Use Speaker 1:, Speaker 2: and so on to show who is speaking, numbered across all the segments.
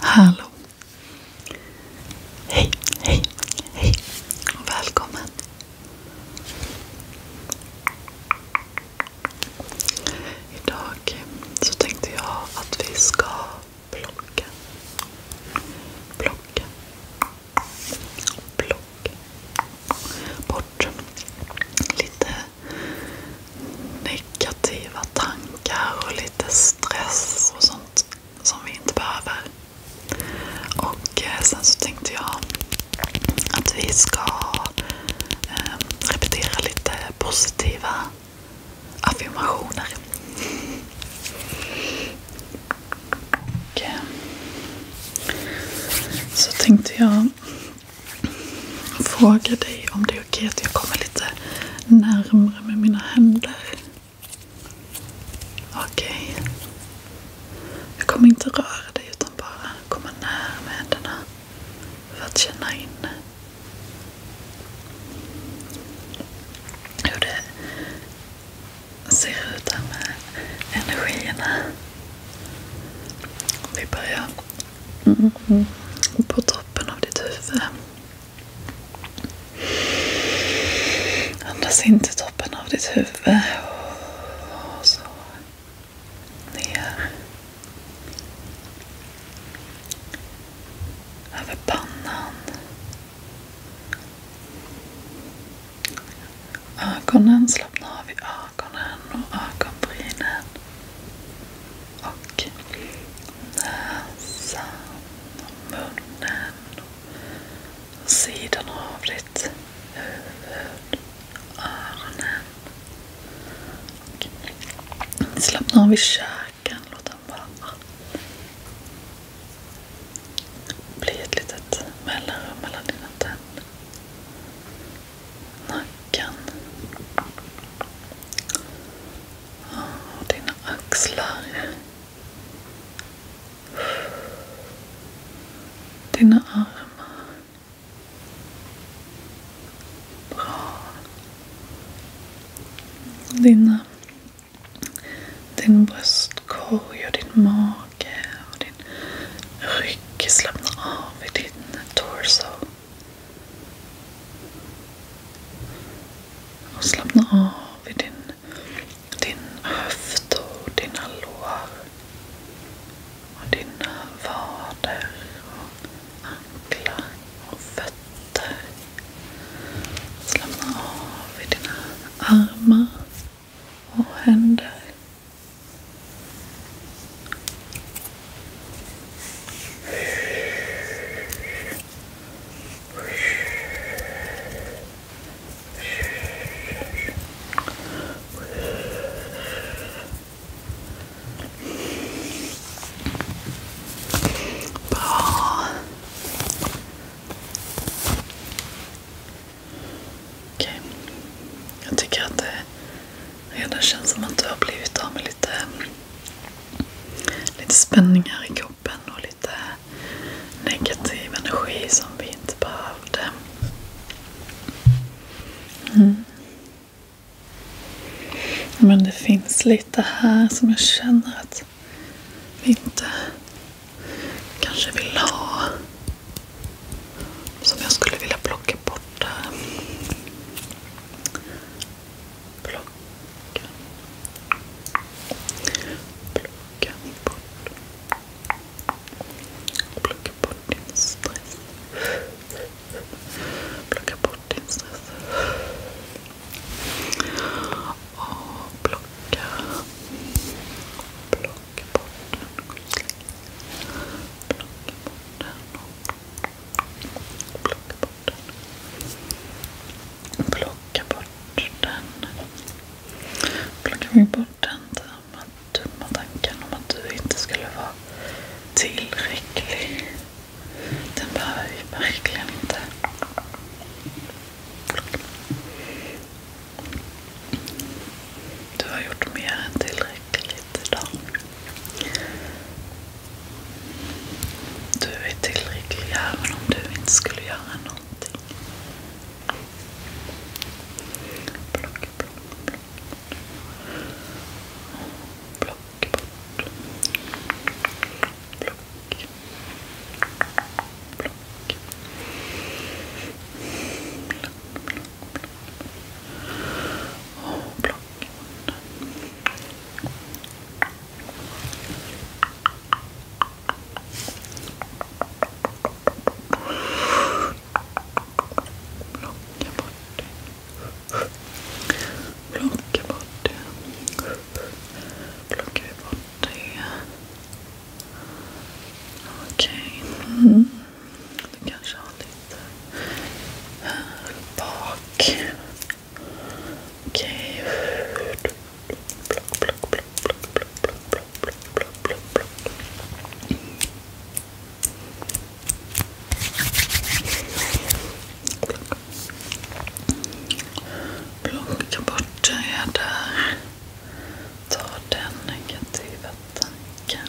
Speaker 1: Hallå! Hej, hej, hej och välkommen! Idag så tänkte jag att vi ska plocka. Plocka. Plocka. Bort lite negativa tankar och lite stress och sånt som vi inte behöver. Och eh, sen så tänkte jag att vi ska ehm, repetera lite positiva affirmationer. Och, eh, så tänkte jag fråga dig om du okej okay att jag kommer lite närmre med mina händer. Okej. Okay. Jag kommer inte röra dig utan bara komma nära med händerna. För att känna in hur det ser ut här med energierna. Vi börjar Mm. På toppen av ditt huvud. Andas in till toppen av ditt huvud. Ner. Över pannan. Ögonen, slappna av i ögonen och ögonbrynen och näsan, munnen, sidan av ditt huvud, öronen. slappna av i käken. Låt den bara... Bli ett litet mellanrum mellan dina tänder nacken. Ah, dina axlar. Dina armar. Bra. din bröstkorg och din mage och din rygg. slappnar av i din torso. Och slappna av i din, din höft och dina lår. Och dina vader och anklar och fötter. Slappna av i dina armar och händer. Bra. Jag tycker att det redan känns som att du har blivit av med lite lite spänningar i kroppen och lite negativ energi som vi inte behövde. Mm. Men det finns lite här som jag känner att vi inte kanske vill ha. Som jag skulle vilja plocka bort där. Plocka. Plocka bort. din stress. Plocka bort din stress. Plocka bort den. Plocka bort den. Plockar vi bort den där dumma tanken om att du inte skulle vara tillräcklig. Den behöver vi verkligen inte. Du har gjort mer än tillräckligt idag. Du är tillräcklig även om du inte skulle göra någonting. Block, block, block. Block bort. Block. Block. Block, block, block. Och plock Plocka bort det. Plocka bort det. Plockar bort det. Du kanske har lite eh, här bak. Okej. Okay. Block, block, block, block, block, block, block, block, block, block. Plocka bort den här där. Ta den negativa tanken.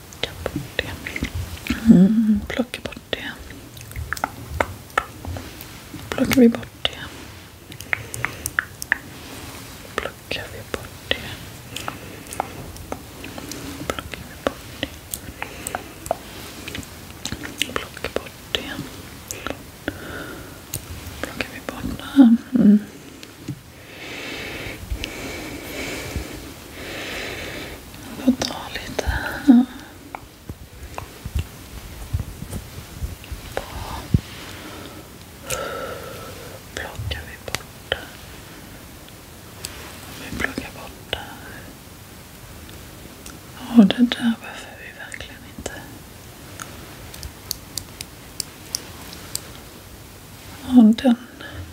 Speaker 1: Plocka bort det. Mm, plocka bort det. Plockar vi bort det. Plockar vi bort det. Plockar vi bort det. Plockar bort det. Plockar vi bort det. Mm. Jag får ta lite här. Plockar vi bort det. Vi plockar bort det här. det där behöver vi verkligen inte. Ja, den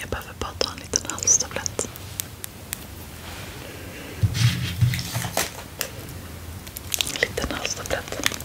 Speaker 1: Jag behöver bara ta en liten halstablett. En liten halstablett.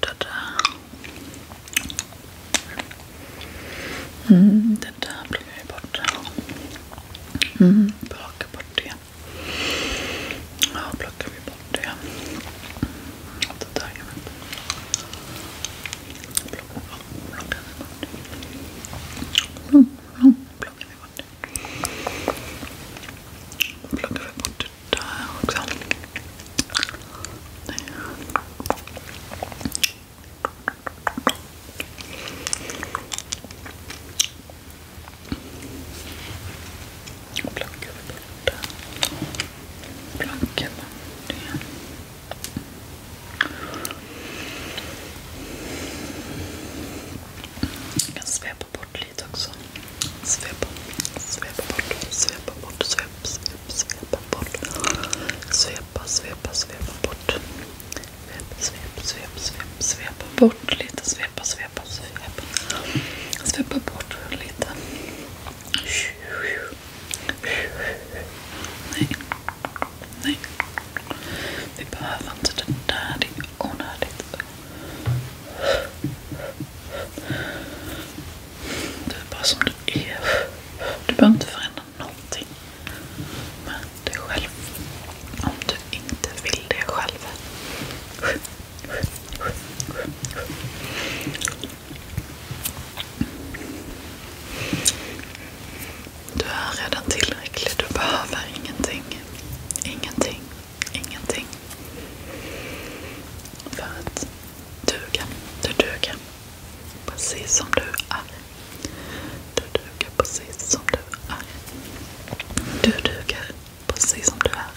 Speaker 1: det där. Mm, det där plockar vi bort. Mm, plocka bort det. Ja, plockar vi bort det. Det där kan Plockar vi bort det. Mm, mm, plockar vi bort det. Plockar vi bort det där också. Blanket borta. Blanket borta igen. Jag kan svepa bort lite också. Svepa, bort, svepa bort, svepa bort. Svepa, svepa, svepa bort. Svepa, svepa, svepa, svepa, svepa bort lite. Svepa, svepa, svepa. Svepa bort lite. Nej. Nej. Vi behöver inte det där. Det är onödigt. Du är bara som du är. Du behöver inte förändra någonting med dig själv. Om du inte vill det själv. Du är redan tillräcklig. Du behöver ingenting. Ingenting. Ingenting. För att duger. Du duger precis som du är. Du duger precis som du är. Du duger precis som du är.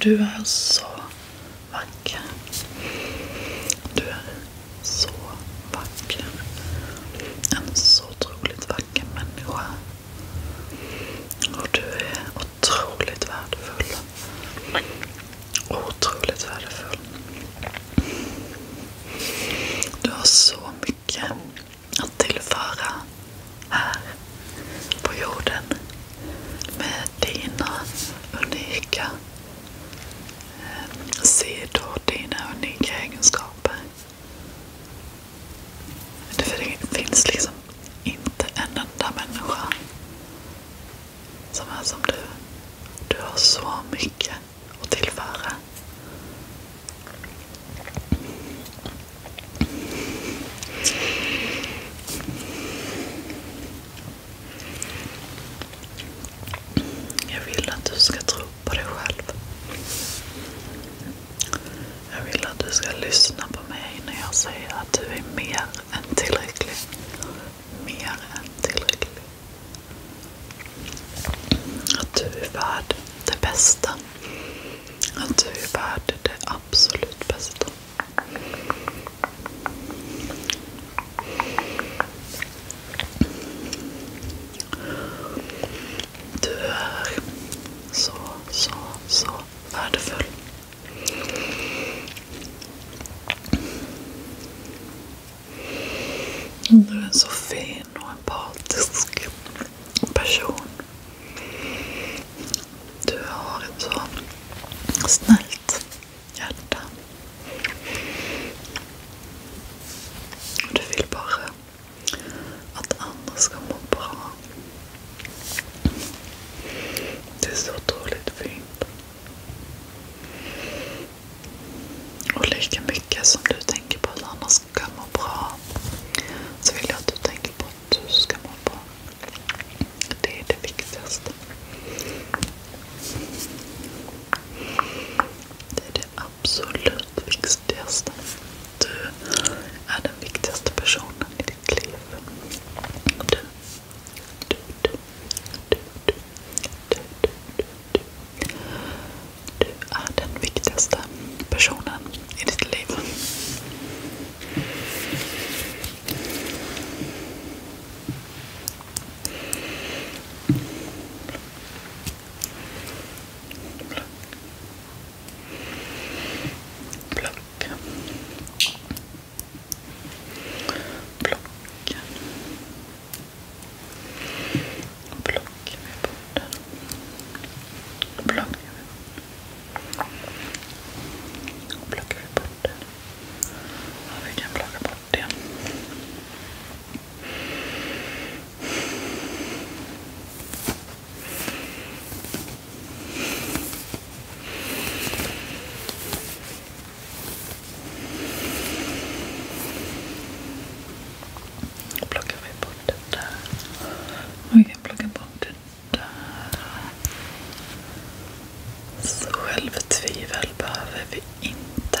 Speaker 1: Du är så vacker. Du är så vacker. En så otroligt vacker människa. Och du är otroligt värdefull. Otroligt värdefull. Du har så mycket att tillföra här på jorden med dina unika Se då dina unika egenskaper. det finns liksom inte en enda människa som är som du. Du har så mycket att tillföra. Jag vill att du ska tro på dig själv. Jag vill att du ska lyssna på mig när jag säger att du är mer än tillräcklig. Mer än tillräcklig. Att du är värd det bästa. Att du är värd det absolut bästa. Du är så, så, så värdefull. Du är en så fin och empatisk person. Du har ett så snällt hjärta. Du vill bara att andra ska må bra. Det är så otroligt fint. Och lika mycket som du tänker på att andra ska må bra, så vill jag att du tänker på att du ska må bra. Det är det viktigaste. Det är det det absolut viktigaste. Du är den viktigaste personen i ditt liv. Du. Du, du, du, du, du, du, du. du är den viktigaste personen i ditt liv. Plocka. Plocka. Plocka. Plocka med borten. Plocka med Plockar vi bort den? Ja, vi kan plocka bort då plockar vi bort det där. vi kan plocka bort det där. självtvivel behöver vi inte.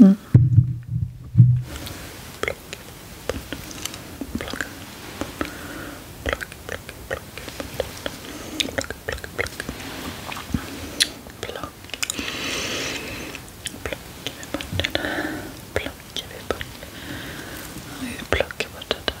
Speaker 1: Mm. Plock, plock, plock, plock, plock, plock, plock, Plockar vi bort det där. Plockar vi bort det där.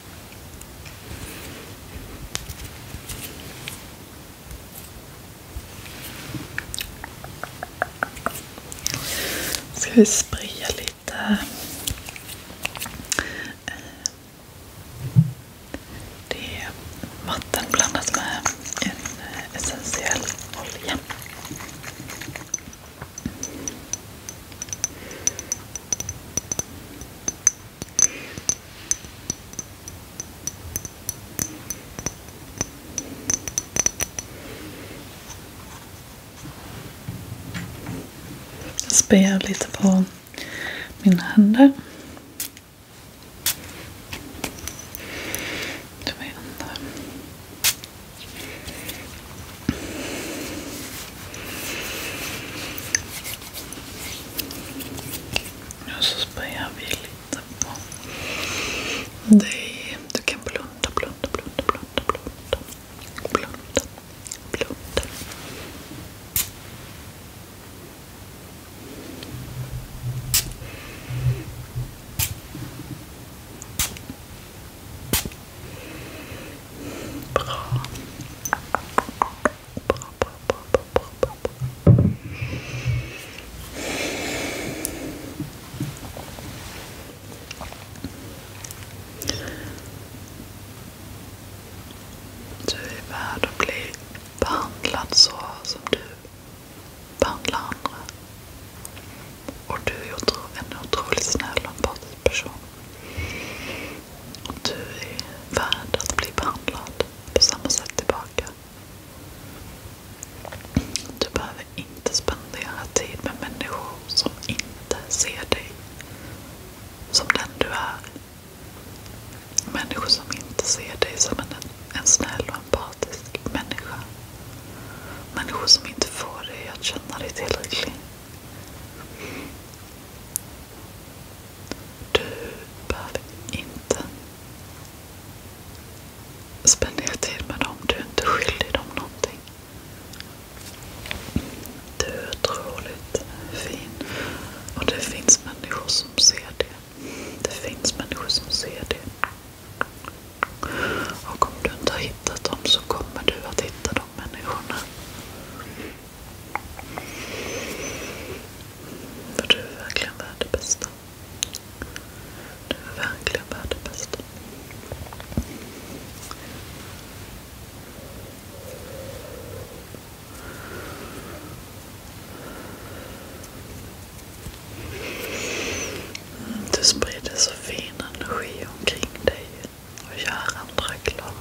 Speaker 1: Ska vi spraya lite eh, det är vatten blandat med en eh, essentiell olja. Jag spelar lite på mina händer. Och så spöar vi lite på dig. Du kan blunda, blunda, blunda, blunda. Blunda, blunda. Bra. Bra, bra, bra, bra, bra, bra, Du är värd att bli behandlad så som du behandlar andra. Och du är en otroligt snäll och empatisk person du är värd att bli behandlad på samma sätt tillbaka. Du behöver inte spendera tid med människor som inte ser dig som den du är. Människor som inte ser dig som en snäll och empatisk människa. Människor som inte får dig att känna dig tillräcklig. Du behöver inte spendera tid med dem. Du är inte skyldig dem någonting. Du är otroligt fin. Och det finns människor som ser det. Det finns människor som ser det. Och om du inte har hittat dem så kommer du att hitta de människorna. För du är verkligen värd det bästa. Du är verkligen värd det bästa. Du sprider så fin energi omkring dig och göra andra glad.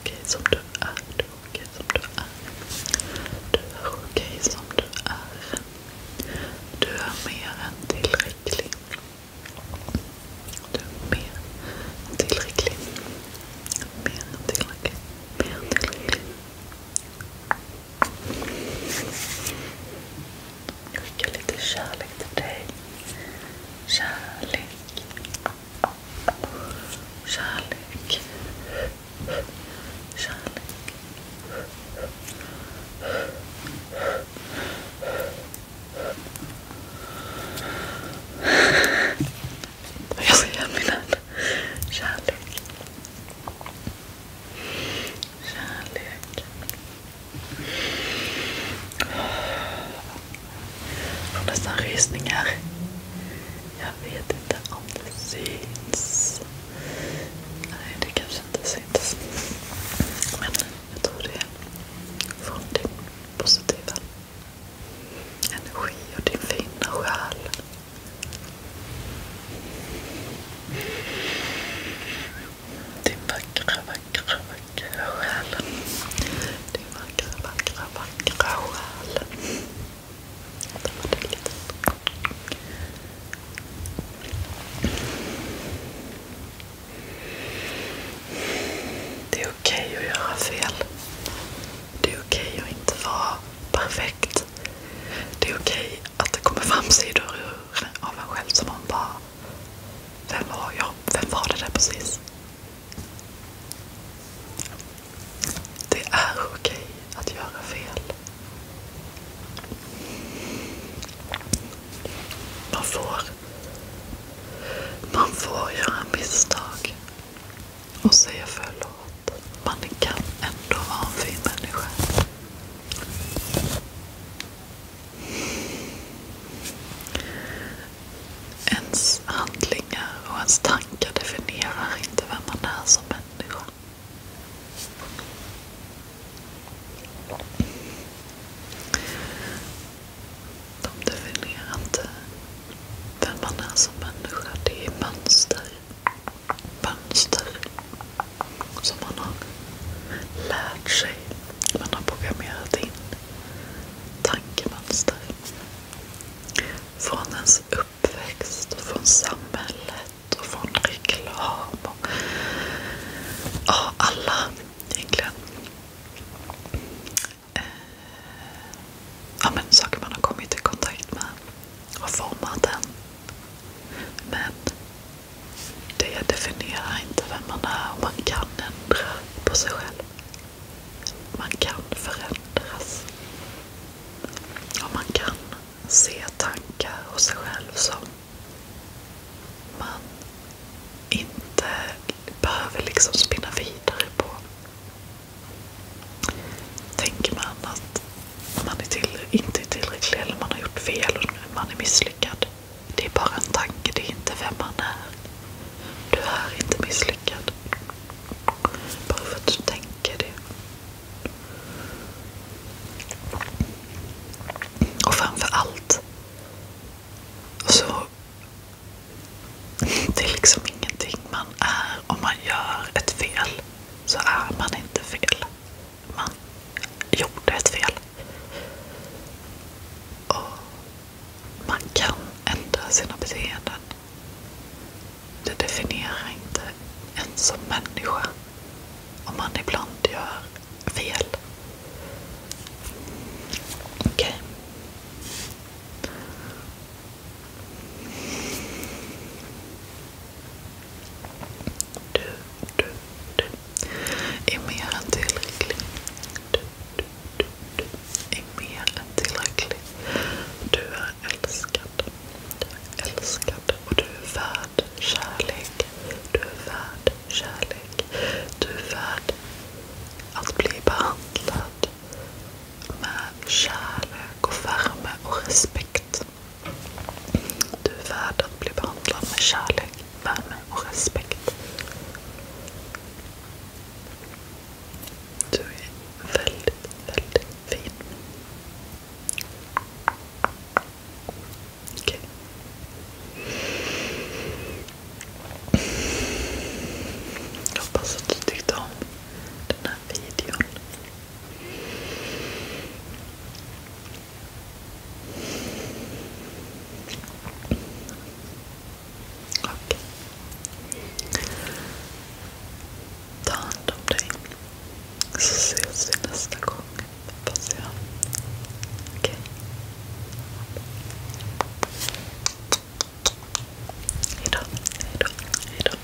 Speaker 1: Okej som du är, du är okej som du är. Du är okej som du är. Du är mer än tillräcklig. Du är mer än tillräcklig. Mer än tillräcklig. Mer än tillräcklig. Skicka lite kärlek till dig. Kärlek. Kärlek. Kärlek. Jag ser igen min hand. Kärlek. Kärlek. Jag får nästan rysningar. Jag vet inte om det syns. Nej, det kanske inte syns. Men jag tror det är från din positiva energi och din fina själ. Din vackra, vackra, vackra själ. Din vackra, vackra, vackra själ. Det är okej att göra fel. Det är okej att inte vara perfekt. Det är okej okay att det kommer fram sidor ur, av en själv som man bara... Vem var jag? Vem var det där precis? Det är okej att göra fel. Man får, man får göra misstag och säga förlåt. Man kan ändå vara en fin människa. Ens handlingar och ens tankar definierar inte vem man är som människa. De definierar inte vem man är som människa. Det är mönster mönster som man har lärt sig. Man har programmerat in tankemönster från ens uppväxt, från samhället från reklam. ja, alla egentligen. Eh, saker man har kommit i kontakt med och format den. Men det definierar inte vem man är och man kan ändra på sig själv. Man kan förändras. Och man kan se tankar och sig själv som man inte behöver liksom spinna vidare på. Tänker man att man är till, inte är tillräcklig eller man har gjort fel och man är misslyckad. Det är bara en tanke, det är inte vem man är. Du är inte misslyckad. Bara för att du tänker det. Och framför allt så det är liksom ingenting man är. Om man gör ett fel så är man inte fel man gjorde ett fel. Och man kan ändra sina beteenden. Det definierar inte en som människa om man ibland gör fel. Okej. Okay. Du, du, du är mer tillräcklig. Du, du, du, är mer tillräcklig. Du är älskad. Du är älskad och du är värd kärlek. Du är värd kärlek. Du är värd att bli behandlad med kärlek och värme och respekt. Du är värd att bli behandlad med kärlek, värme och respekt. Du är väldigt, väldigt fin. Okej. Jag hoppas att du tyckte om den här videon. Okej. Ta hand om dig. Så ses vi nästa gång, hoppas jag. Okej. Hejdå, hejdå, hejdå.